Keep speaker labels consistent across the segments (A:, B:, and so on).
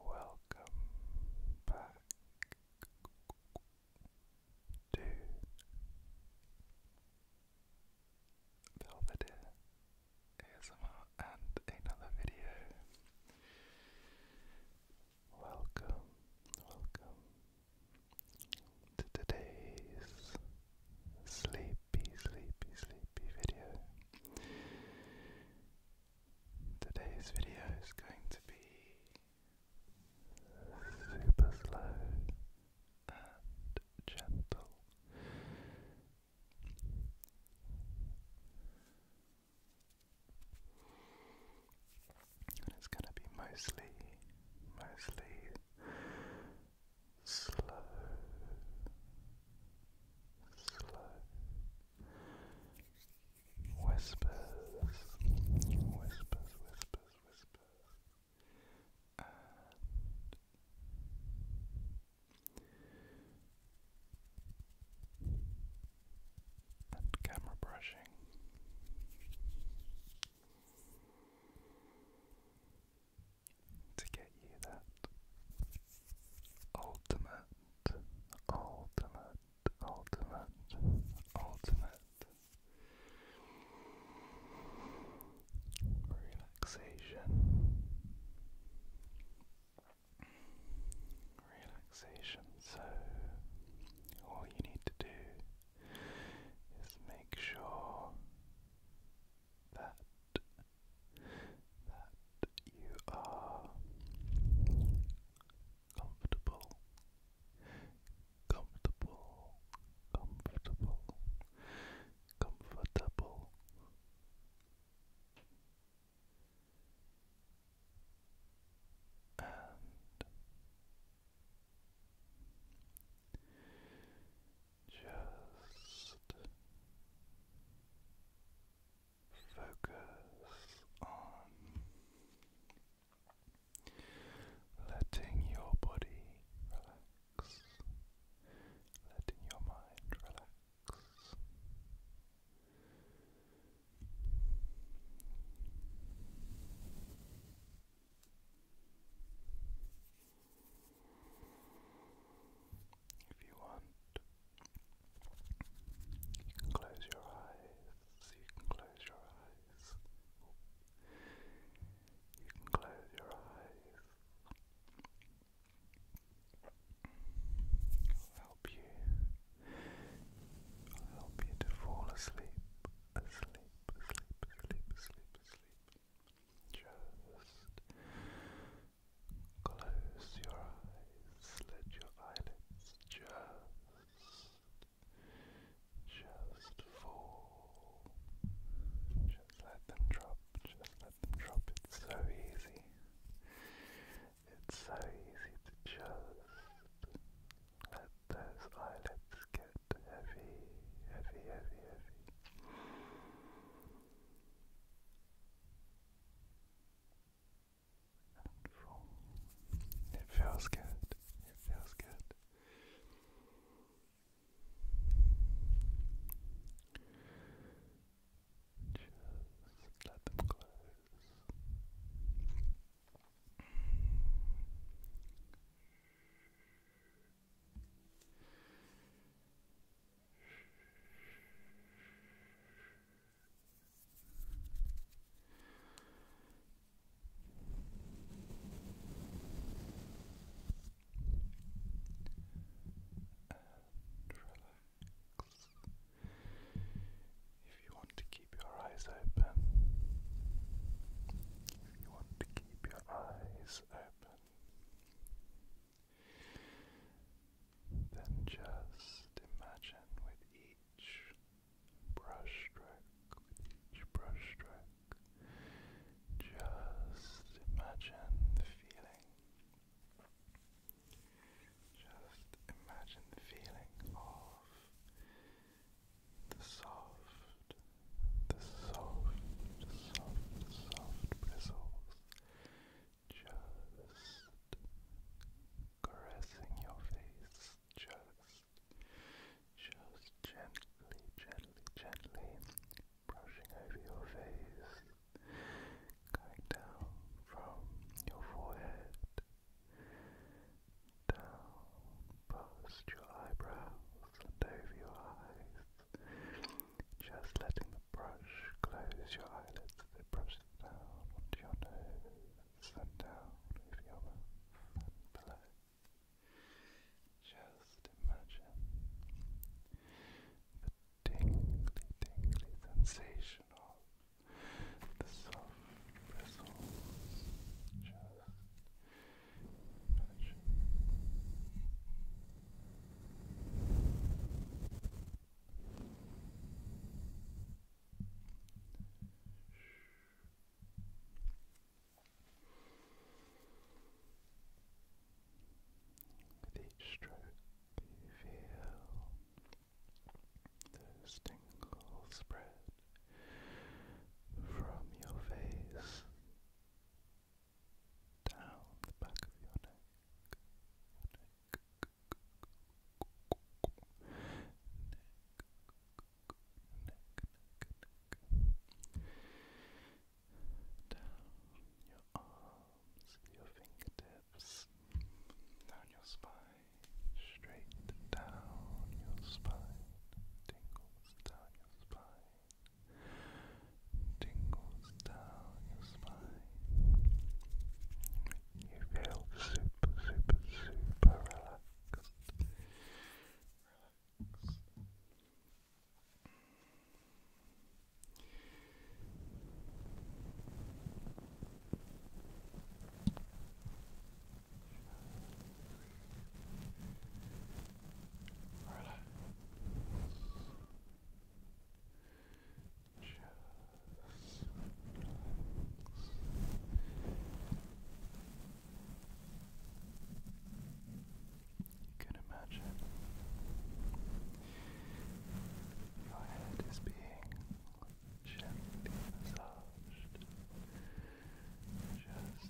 A: Welcome back to Belvedere ASMR and another video. Welcome, welcome to today's sleepy, sleepy, sleepy video. Today's video is going to be super slow and gentle. And it's going to be mostly, mostly slow slow whispers, whispers, whispers, whispers, camera brushing to get you that ultimate, ultimate, ultimate, ultimate relaxation. Relaxation. So, all you need to do is make sure that that you are comfortable, comfortable, comfortable, comfortable. And just focus on letting your body relax, letting your mind relax. If you want, you can close your eyes. You can close your eyes. You can close your eyes. I'll help you. I'll help you to fall asleep, asleep, asleep, asleep, asleep, asleep. Just Close your eyes, let your eyelids just, just fall. Just let them drop, just let them drop. It's so easy. It's so easy to just let those eyelids get heavy, heavy, heavy, heavy. It feels good. It feels good. Just let them close. If you want to keep your eyes open, if you want to keep your eyes open, then just imagine with each brush stroke, each brush just imagine the feeling. Just imagine the feeling of the soft, the soft, soft, soft bristles just caressing your face, just, just gently, gently, gently brushing over your face, going down from your forehead, down past your eyebrows, over your eyes. Just letting the brush close your eyelids as it brushes down onto your nose and down over your mouth Just imagine the tingly, tingly sensation of the soft bristles just with each stroke, you feel those tingles spread from your face down the back of your neck, your neck, neck, neck, neck, down your arms, your fingertips, down your spine, straight down your spine, tingles down your spine tingles down your spine. You feel super, super, super relaxed. Relax. You imagine your head is being gently just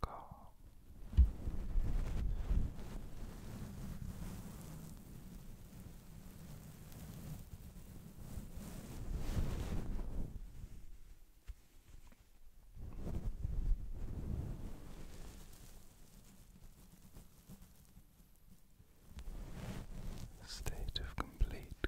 A: calm. state of complete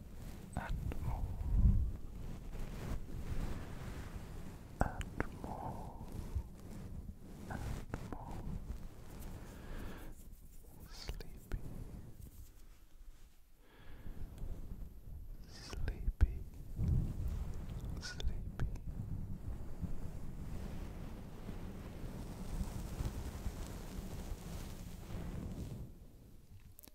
A: and more and more and more sleepy sleepy sleepy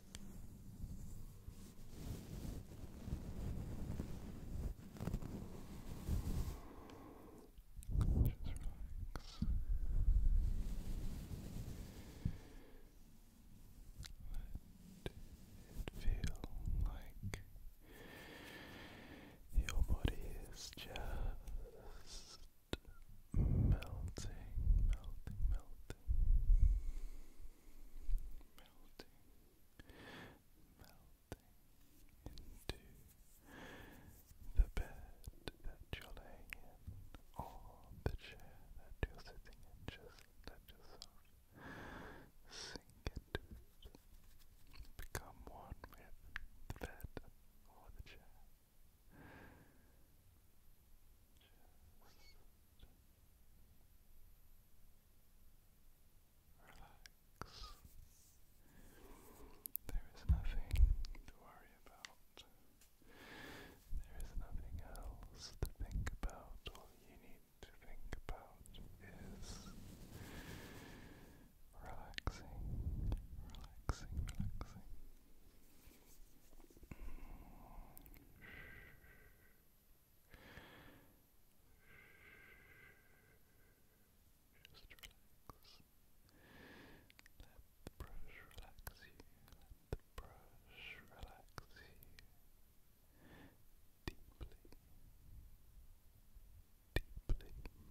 A: Let it feel like your body is just melting, melting, melting melting, melting into the bed that you're laying in, or the chair that you're sitting in, just let yourself sink into it, become one with the bed or the chair. Relax. There is nothing to worry about. There is nothing else to think about. All you need to think about is relaxing, relaxing, relaxing. Just relax. Let the brush relax you. Let the brush relax you deeply, deeply, deeply.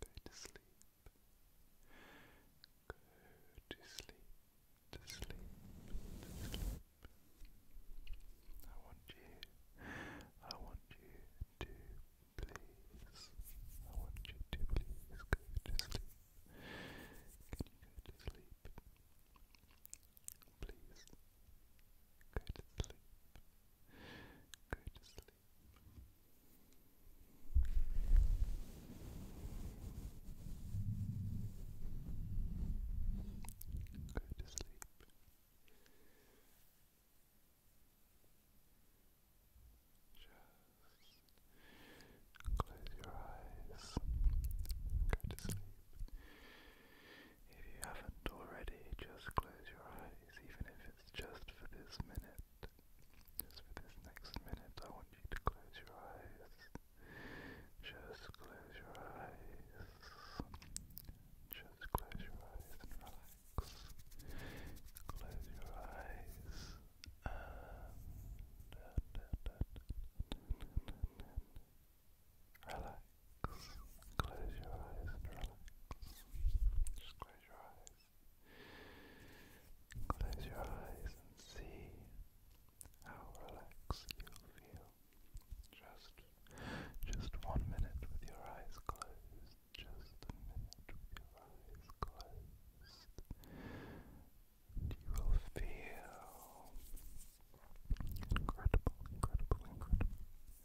A: Go to sleep. Go to sleep. To sleep. To sleep. I want you. I want you to please. I want you to please go to sleep. Can you go to sleep? Please. Go to sleep. Go to sleep. Go to sleep. close your eyes. Go to sleep. If you haven't already, just close your eyes, even if just for this minute. Just for this next minute, I want you to close your eyes. Just close your eyes. Just close your eyes and relax. Close your eyes and relax. Close your eyes and relax. Close your eyes. Close your eyes and see how relaxed you'll feel. Just just one minute with your eyes closed. Just a minute with your eyes closed. you will feel incredible, incredible, incredible.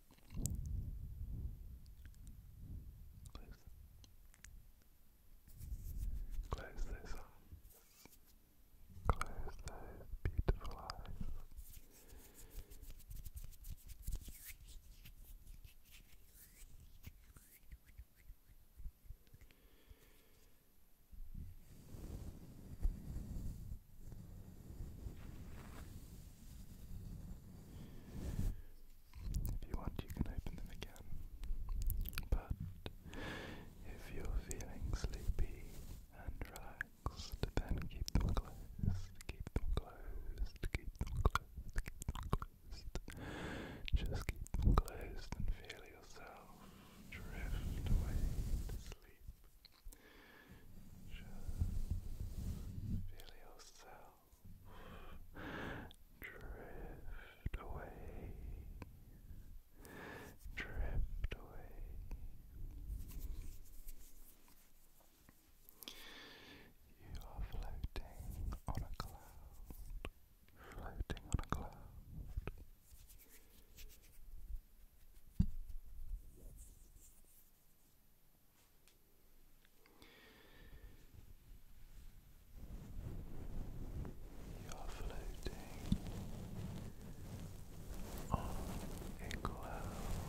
A: Close those Close those beautiful eyes. If you want, you can open them again. But if you're feeling sleepy and relaxed, then keep them closed, keep them closed, keep them closed, keep them closed. Just keep them closed and feel yourself drift away to sleep. Just feel yourself drift away, drift away. You are floating on a cloud, floating on a cloud. You are floating on a cloud. You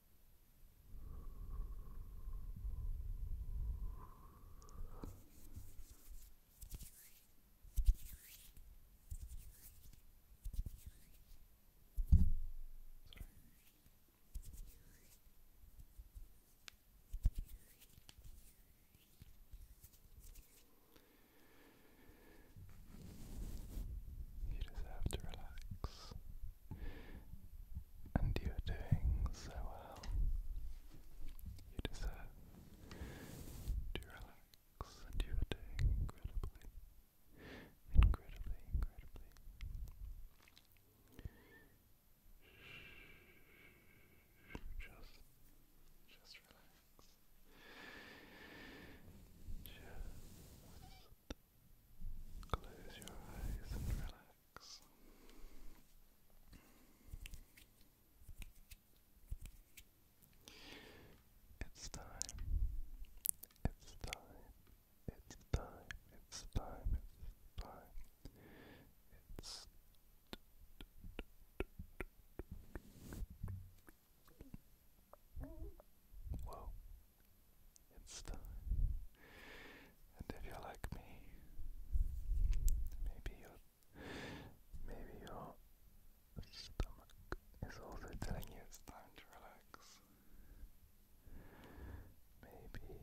A: You just to relax and you're doing so well. You deserve to relax, and you are doing incredibly, incredibly, incredibly. Just, just relax. Just Close your eyes and relax. It's time. It's time. It's time. It's time. It's time. It's well, it's time. And if you're like me, maybe your maybe your stomach is also telling you it's time to relax. Maybe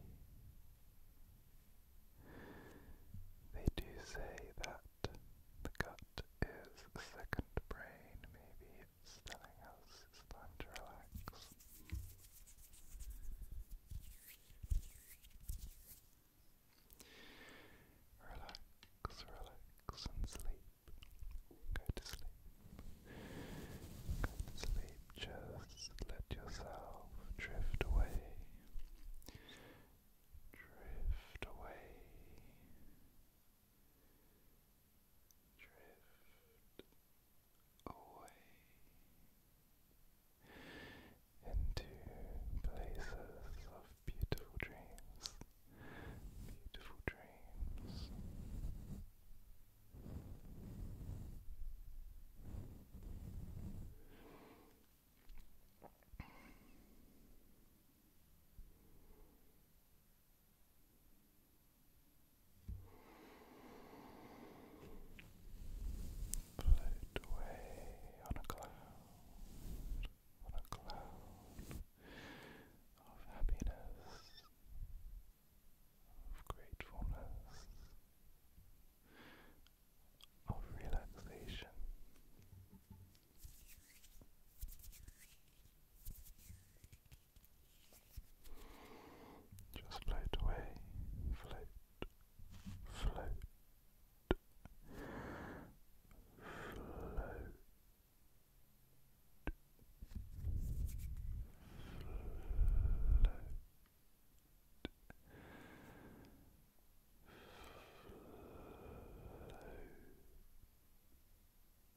A: they do say that the gut is the second brain, maybe it's us time to relax. Relax, relax and sleep. Go to sleep. Go to sleep. Just let yourself drift away. Drift away drift away into places of beautiful dreams, beautiful dreams. Float away on a cloud, on a cloud of happiness, of gratefulness, of relaxation. Just float away, float, float, float. Float. Float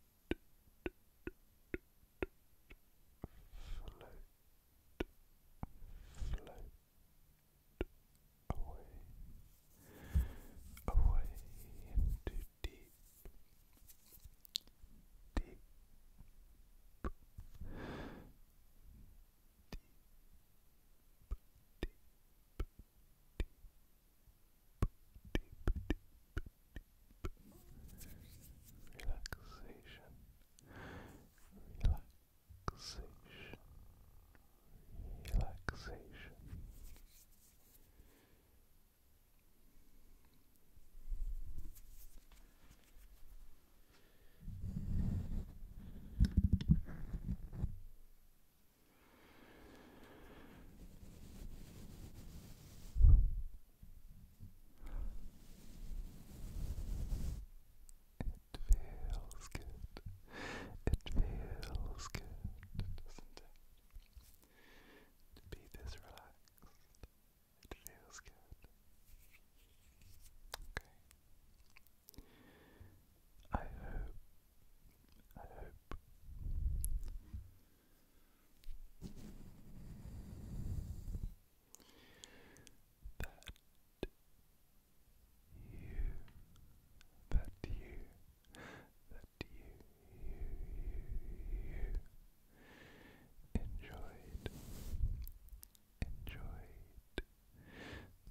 A: float, float away, away into deep, deep, deep, deep, deep, relaxation, relaxation. Relaxation. It feels good. It feels good, doesn't it? To be this relaxed. It feels good. Okay. I hope I hope that you, that you, that you, you, you, you enjoyed, enjoyed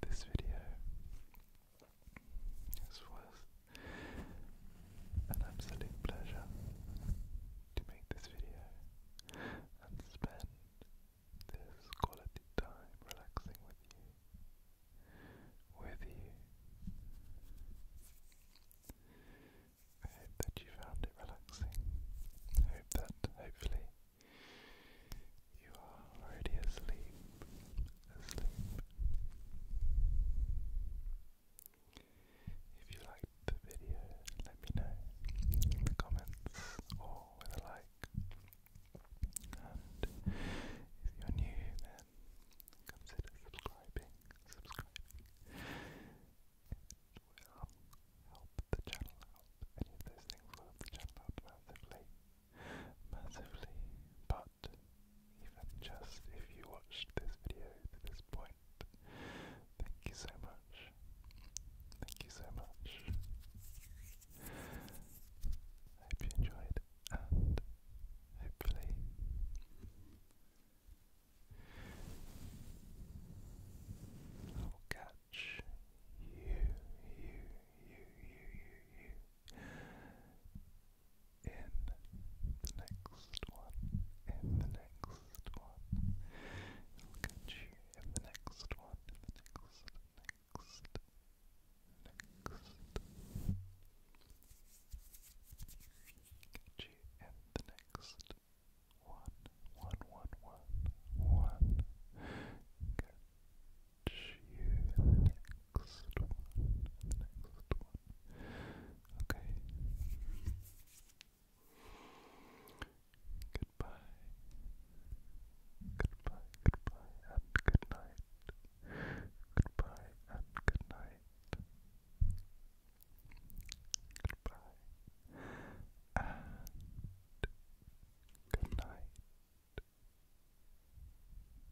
A: this video. This was an absolute pleasure to make this video and spend this quality time relaxing with you. With you. I hope that you found it relaxing. I hope that hopefully you are already asleep. Asleep. If you liked the video, let me know in the comments or with a like. And if you're new, then consider subscribing. Subscribing. will help the channel out. Any of those things will help the channel out massively. Massively. But even just if you watched this video to this point, thank you so much. Thank you so much. hope you enjoyed and hopefully I will catch you, you, you, you, you, you in the next one, in the next one. I'll catch you in the next one, next, next, next. Catch you in the next one, one, one, one, one. Catch you next one, next one. Okay. Goodbye. Goodbye, goodbye, and good Goodbye, and good Goodbye, and good